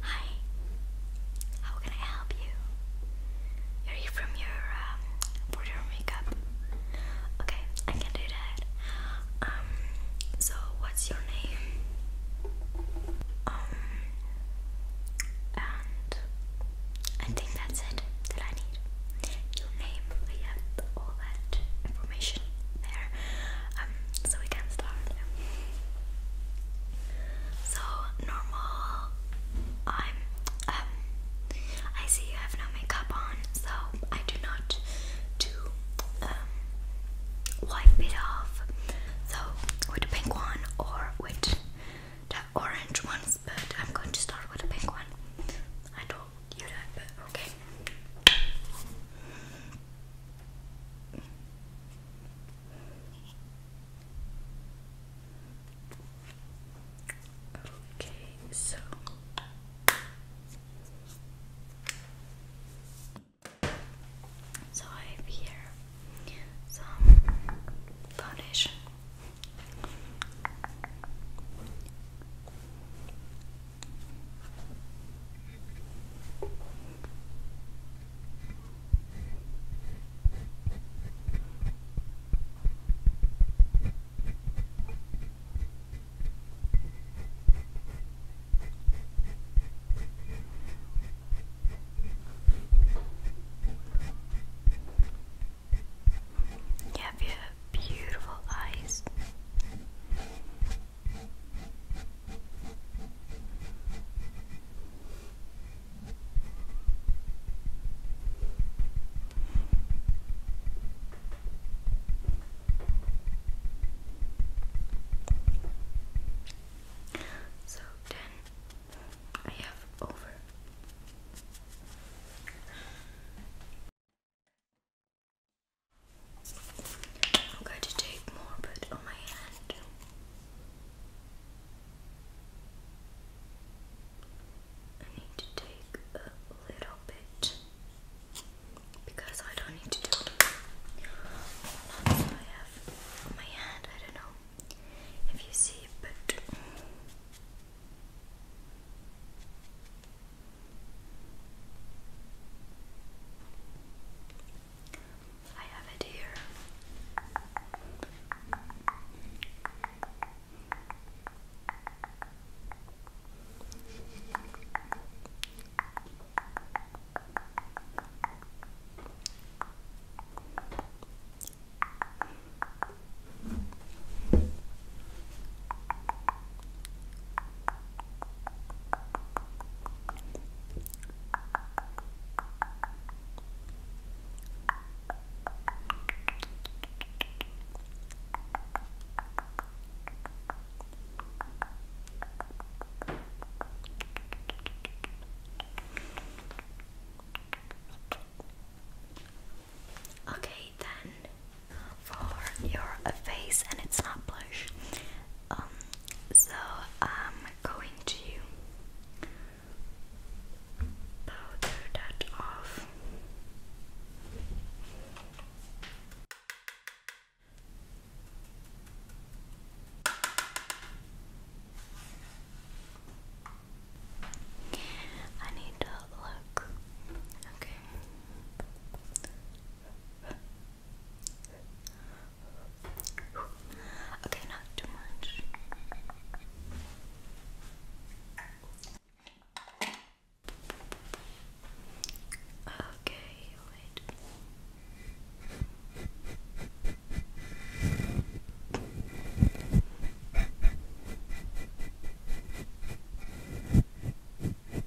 Hi, how can I help you? are here from your um, makeup. Okay, I can do that. Um, so what's your name? Um, and I think that's it that I need. Your name, I have all that information there. Um, so we can start. So normal. I'm. Um, I see you have no makeup on, so I do not do um, wipe it off. So with the pink one or with the orange ones, but I'm going to start with the pink one. I told you that, but okay. Okay, so so I have here some foundation. You have your beautiful eyes. So then I have over. I'm going to take more but on my hand. I need to take a little bit because I don't need to do lots I have on my hand. I don't know if you see, but. I have it here. Okay, then for your face, and it's not blush, um, so I'm um, going to powder that off. I need to look. Okay. Okay, not too much. Okay, wait.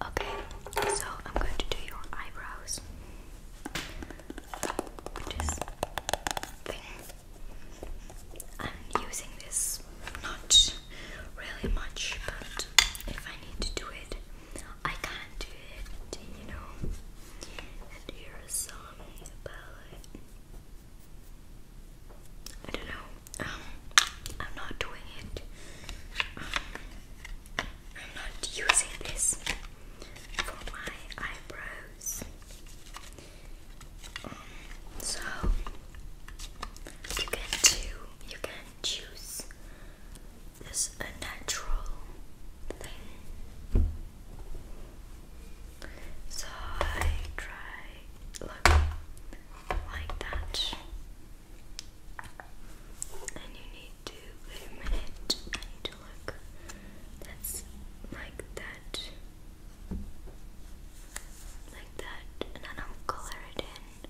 Okay, so I'm going to do your eyebrows. I'm using this not really much, but if I need to do it, I can do it, you know. And here's some palette. I don't know. Um, I'm not doing it. Um, not using this for my eyebrow so you can do you can choose this natural thing. So I try look like that. And you need a minute. I need to look. That's like that. Like that. And then I'll color it in.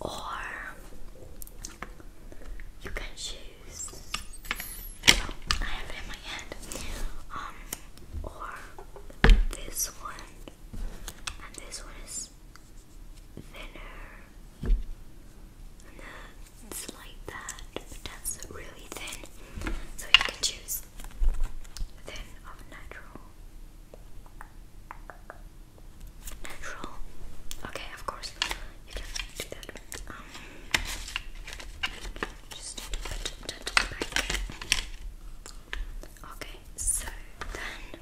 Or you can choose I have it in my hand. Um or this one. And this one is thinner it's like that, but really thin. So you can choose thin or natural. Natural. Okay, of course you can do that. Um, just put that back. Okay, so then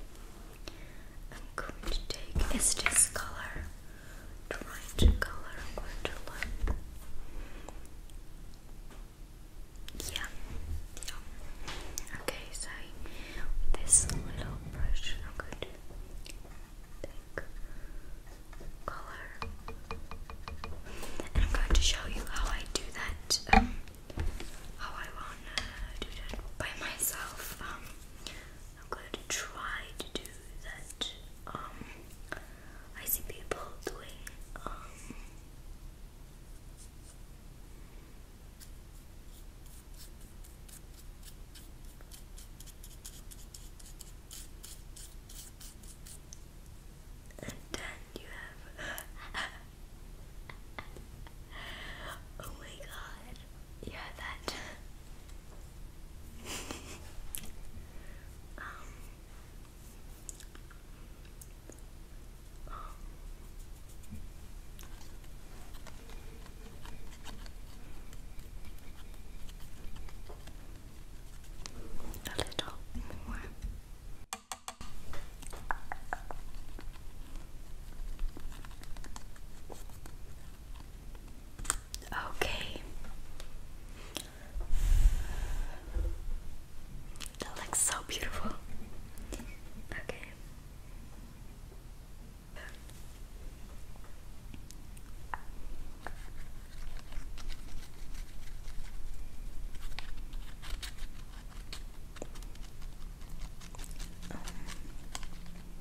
I'm going to take this color to color I'm going to like. Yeah, yeah. Okay, so this little brush, I'm going to take color, and I'm going to show you how I do that. Um, how I wanna do that by myself. Um, I'm going to try to do that. Um, I see people doing um, and then you have. oh my god. Yeah, that um, um, a little more. Okay. That looks so beautiful. Okay.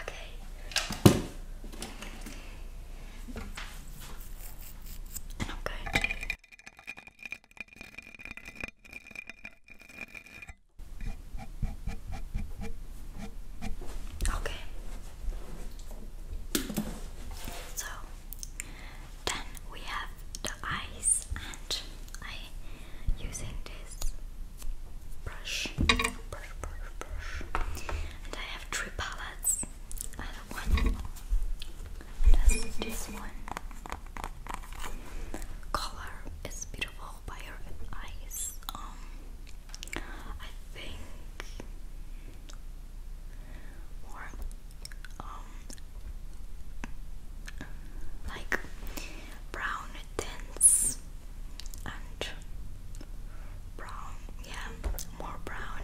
Okay. And Okay. So then we have the eyes and I using this brush, brush, brush, brush. And I have three palettes. I one. this one. Color is beautiful by your eyes. Um, I think more um like brown tints and brown, yeah, more brown.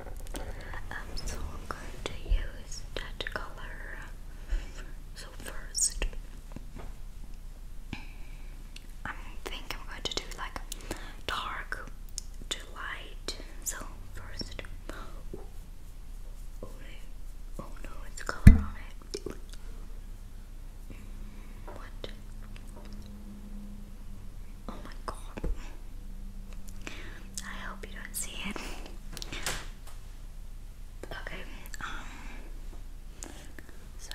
Um, I'm going to use that color. So first, I think I'm going to do like dark to light. So first. Oh, oh no, it's color on it. Mm, what? Oh my god. I hope you don't see it. Okay, um, so.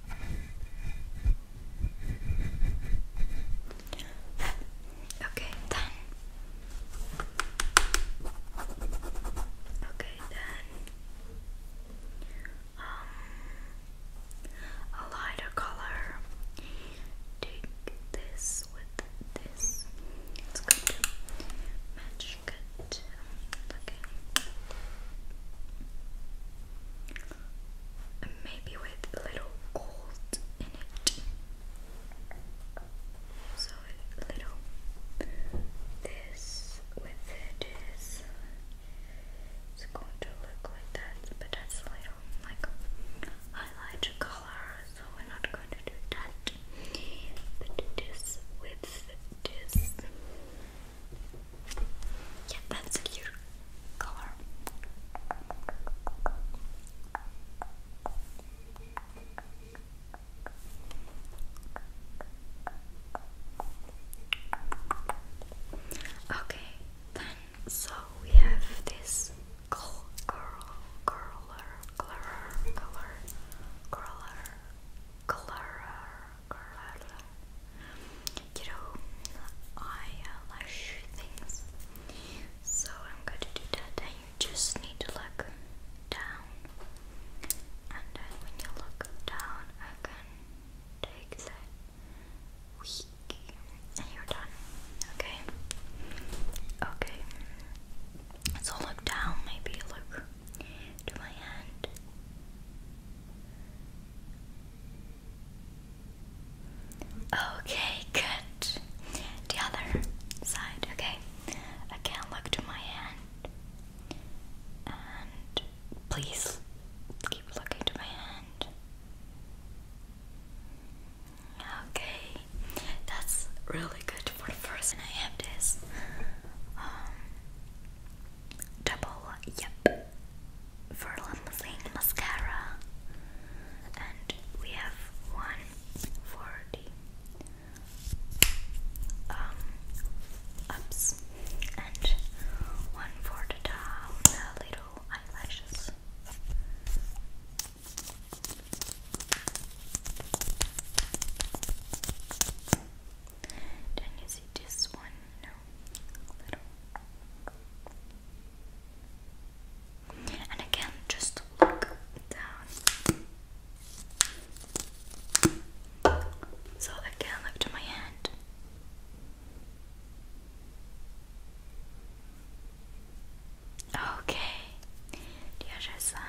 Okay, done. Okay, then. Um, a lighter color. Take this with this. It's going match good. Okay maybe with a little gold in it. So a little this with it is it's going to look like that, but that's a little like highlight color, so we're not going to do that. But this with this yeah, that's a cute color. Okay, then so we have this curl, curl, curler, curler, curler, curler, curler, you know, eyelash uh, things. So I'm going to do that, you just need to look down. And then when you look down, I take that week, and you're done. Okay. Okay. So look down. Maybe look to my hand. Okay, good. The other side, okay. I can't look to my hand. And please keep looking to my hand. Okay, that's really good for the first. And I have this um, double, yep, Verlamsing mascara. And we have one for the um, ups and one for the little eyelashes. Then you see this one and again, just look down. So again, look my hand. Okay, the other side.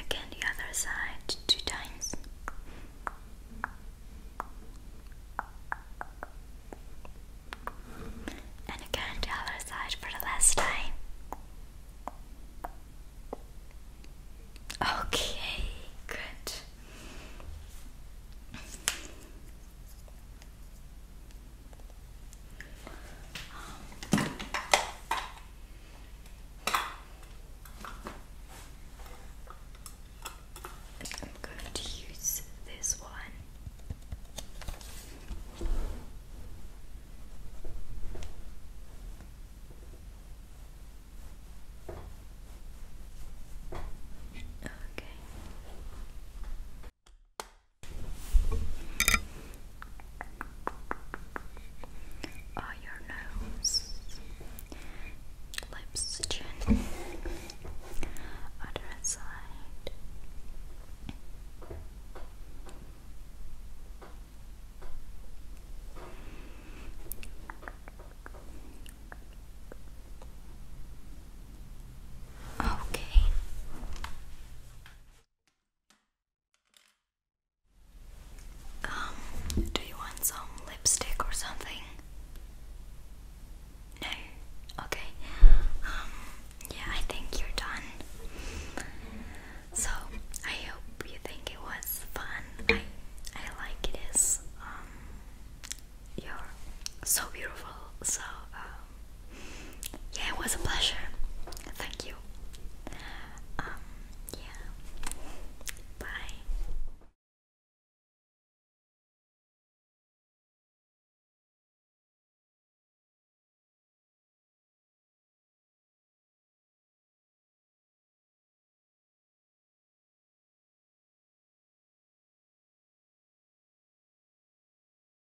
Again, the other side two times. And again, the other side for the last time. Okay, good. I'm going to use this one. Okay. Oh, your nose, lips, chin, other side. Okay. Um, do you want some lipstick or something? No? Okay. Um, yeah, I think you're done. So, I hope you think it was fun. I, I like it is. Um, you're so beautiful. So, yeah, it was a pleasure. Thank you. Um, yeah. Bye.